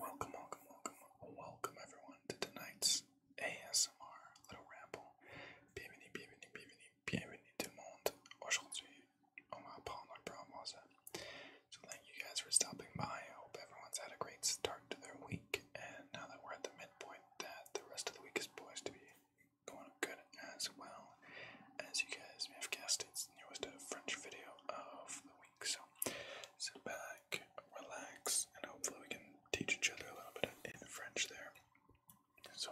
Welcome, welcome, welcome, welcome everyone to tonight's ASMR little ramble. So thank you guys for stopping by. I hope everyone's had a great start to their week. And now that we're at the midpoint, that the rest of the week is poised to be going good as well. As you guys may have guessed, it's the newest French video of the week. So sit back, relax, and hopefully we can teach each other a little bit in French there. So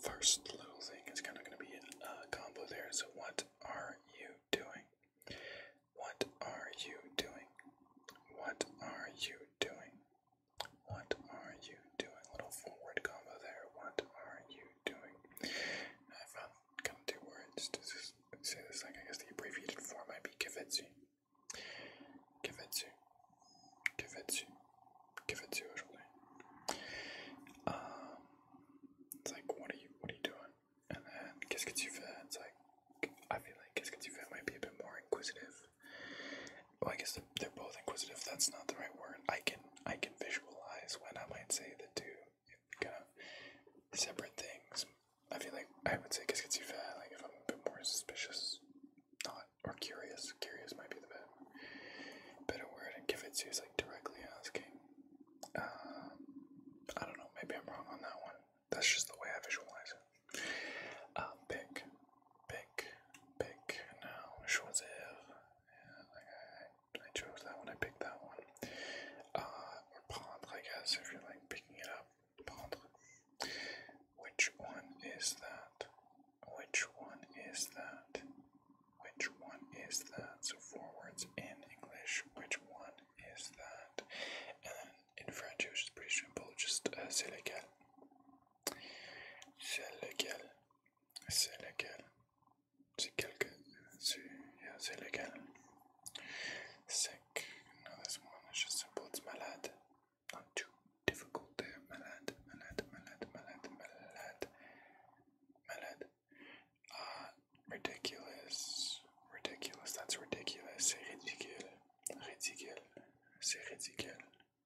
first little thing is kind of going to be a uh, combo there. So what are you doing? What are you doing? What are you doing? What are you doing? Little forward combo there. What are you doing. I found kind of two words to say this like I guess the abbreviated form might be kivetsu. Kivetsu. Kivetsu. Kivetsu usually. Um it's like what are you what are you doing? And then Kiskatsuva, it's like I feel like Kiskatsuva might be a bit more inquisitive. Well I guess they're, they're both inquisitive, that's not the right word. I can I can visualize when I might say the two kind of separate things. I feel like I would say Cascativa, like if I'm a bit more suspicious, not or curious. Curious might be the better, word. And Kivitsu is like directly asking. Uh, I don't know. Maybe I'm wrong on that one. That's just the way I visualize it. Um, pick, pick, pick. Now, Choisir. I chose that one. I picked that one. Uh, or prendre, I guess, if you're like picking it up. Prendre. Which one is that? Which one is that? Which one is that? So four words in English. Which one is that? And in French, it was pretty simple. Just uh, c'est lequel. C'est lequel. C'est lequel. It's illegal. It's illegal. It's légal. Sick, no, this one is just it's Not too difficult there, eh, malade, malade, malade, malade, malade, malade. Uh, ah, ridiculous, ridiculous, that's ridiculous, c'est ridicule, ridicule, c'est ridicule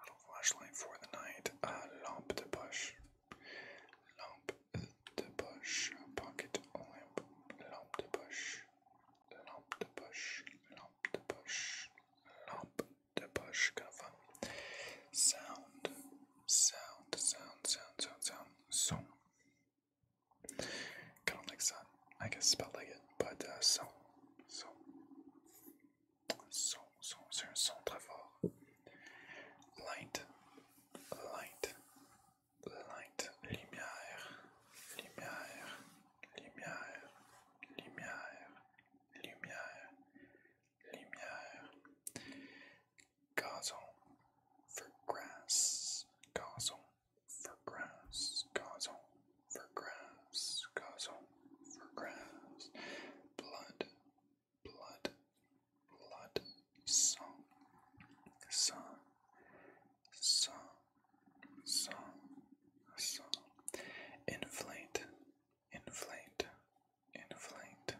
Little flashlight for the night. A uh, lamp de bush. Lamp de bush. Pocket lamp. Lamp de bush. Lamp de bush. Lamp de bush. Lamp de bush. Kind of fun. Sound. Sound. Sound. Sound. Sound. Sound. Kind of like sun. I guess spell like it, but uh, so. So. son, son, c'est un son très fort. Light, light, light, lumière, lumière, lumière, lumière, lumière, lumière. Gazon for grass, gazon for grass, gazon for grabs, gozzle for grabs, blood, blood, blood, song, song, song, song, inflate, inflate, inflate,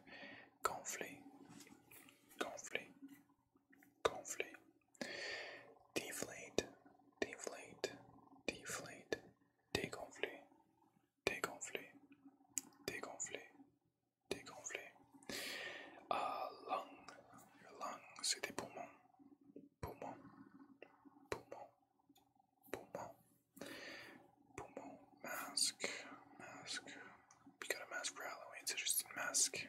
conflict, conflict, conflict. Deflate, deflate, deflate, dégonfler, dégonfler, dégonfler, dégonfler. Uh, lung, your lung, c'est des poumons, poumons, poumons, poumons, poumons. Mask, mask. We got a mask for Halloween, so just mask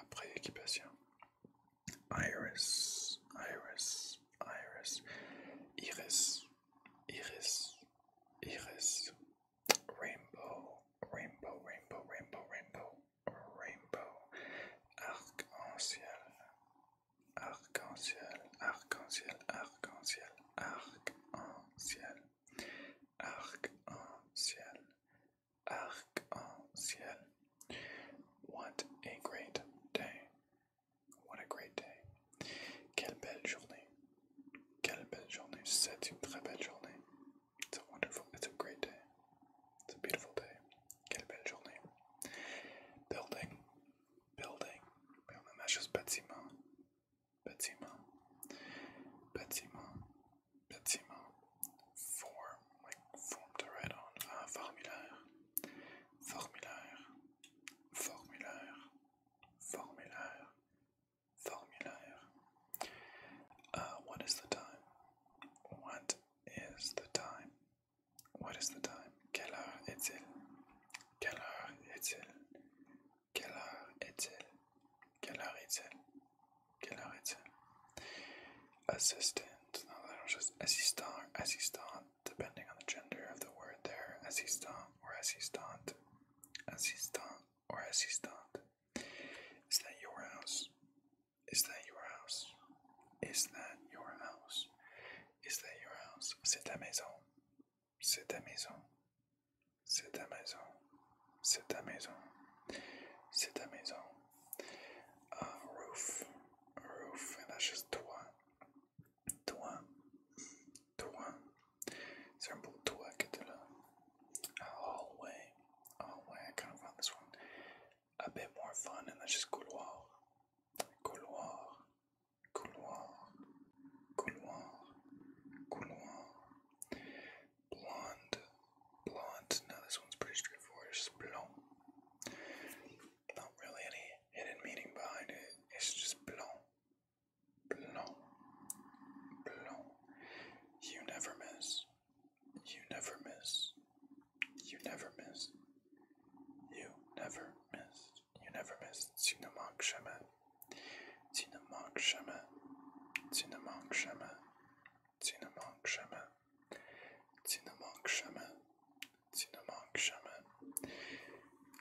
Après équipation. Iris, Iris, Iris, Iris, Iris, Iris, Rainbow, Rainbow, Rainbow, Rainbow, Rainbow, Rainbow, Arc-en-Ciel, Arc-en-Ciel, Arc-en-Ciel, Arc-en-Ciel, Arc-en-Ciel, Arc-en-Ciel, Arc-en-ciel. What a great day. What a great day. Quelle belle journée. Quelle belle journée. C'est une très belle journée. It's a wonderful, it's a great day. It's a beautiful day. Quelle belle journée. Building. Building. Mais on a juste bâtiment. Bâtiment. Bâtiment. bâtiment, form, form to write on, ah, formulaire, formulaire, formulaire, formulaire, formulaire. Uh, what is the time? What is the time? What is the time? Quelle heure est-il? Quelle heure Quelle heure est-il? Quelle heure est-il? Quelle heure est-il? Assistant, no, they do just assistant, assistant, depending on the gender of the word there, assistant or assistant, assistant or assistant. Is that your house? Is that your house? Is that your house? Is that your house? C'est ta maison. C'est ta maison. C'est ta maison. C'est ta maison. C'est ta maison. A roof. Et roof. et that's juste toi. Toi. Toi. C'est un beau toit que tu là. hallway. A hallway. I kind of want this one. A bit more fun. Et c'est juste couloir. Couloir. Couloir. Couloir. Couloir. Blonde, blonde. Now this one's pretty straightforward. It's just blond. Not really any hidden meaning behind it. It's just blond, blond, blond. You never miss. You never miss. You never miss. You never miss. You never miss. Tu ne manques jamais. Tu ne manques jamais. ne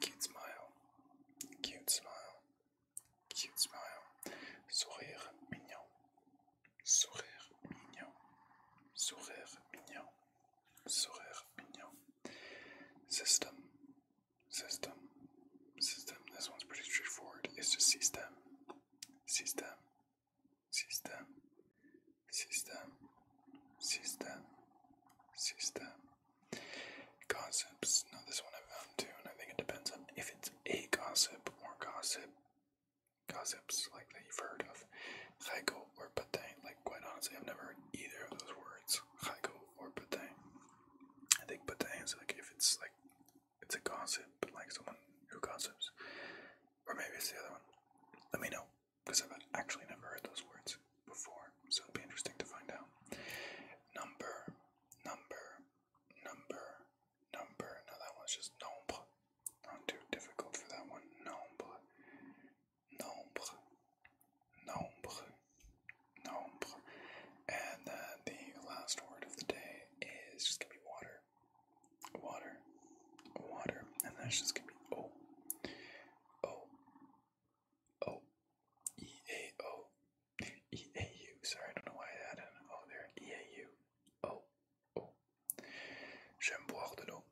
Cute smile. Cute smile. Cute smile. Sourire mignon. Sourire mignon. Sourire mignon. Sourire mignon. System. System. System. This one's pretty straightforward. It's just system. System. System. System. System. System. Gossips. Now this one I have found too, and I think it depends on if it's a gossip or gossip. Gossips like that you've heard of. Haigo or Patay. Like quite honestly, I've never heard either of those words. Heiko or Patang. I think Patang is like if it's like it's a gossip, but like someone who gossips, or maybe it's the other one. Let me know because I've actually never heard those words before, so it'll be interesting to find out. Number, number, number, number. Now that one's just nombre. Not too difficult for that one. Nombre, nombre, nombre, nombre. And uh, the last word of the day is just gonna be water, water, water. And that's just gonna be O, O, O, E A O, E A U. Sorry, I don't know why I added an there. E A U, O, O. J'aime boire de l'eau.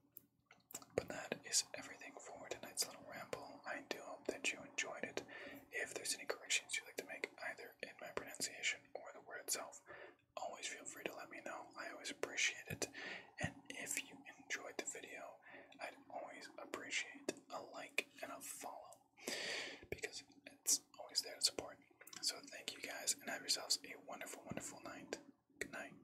But that is everything for tonight's little ramble. I do hope that you enjoyed it. If there's any corrections you'd like to make, either in my pronunciation or the word itself, always feel free to let me know. I always appreciate it. And if you enjoyed the video, I'd always appreciate a like and a follow because it's always there to support. So thank you guys and have yourselves a wonderful, wonderful night. Good night.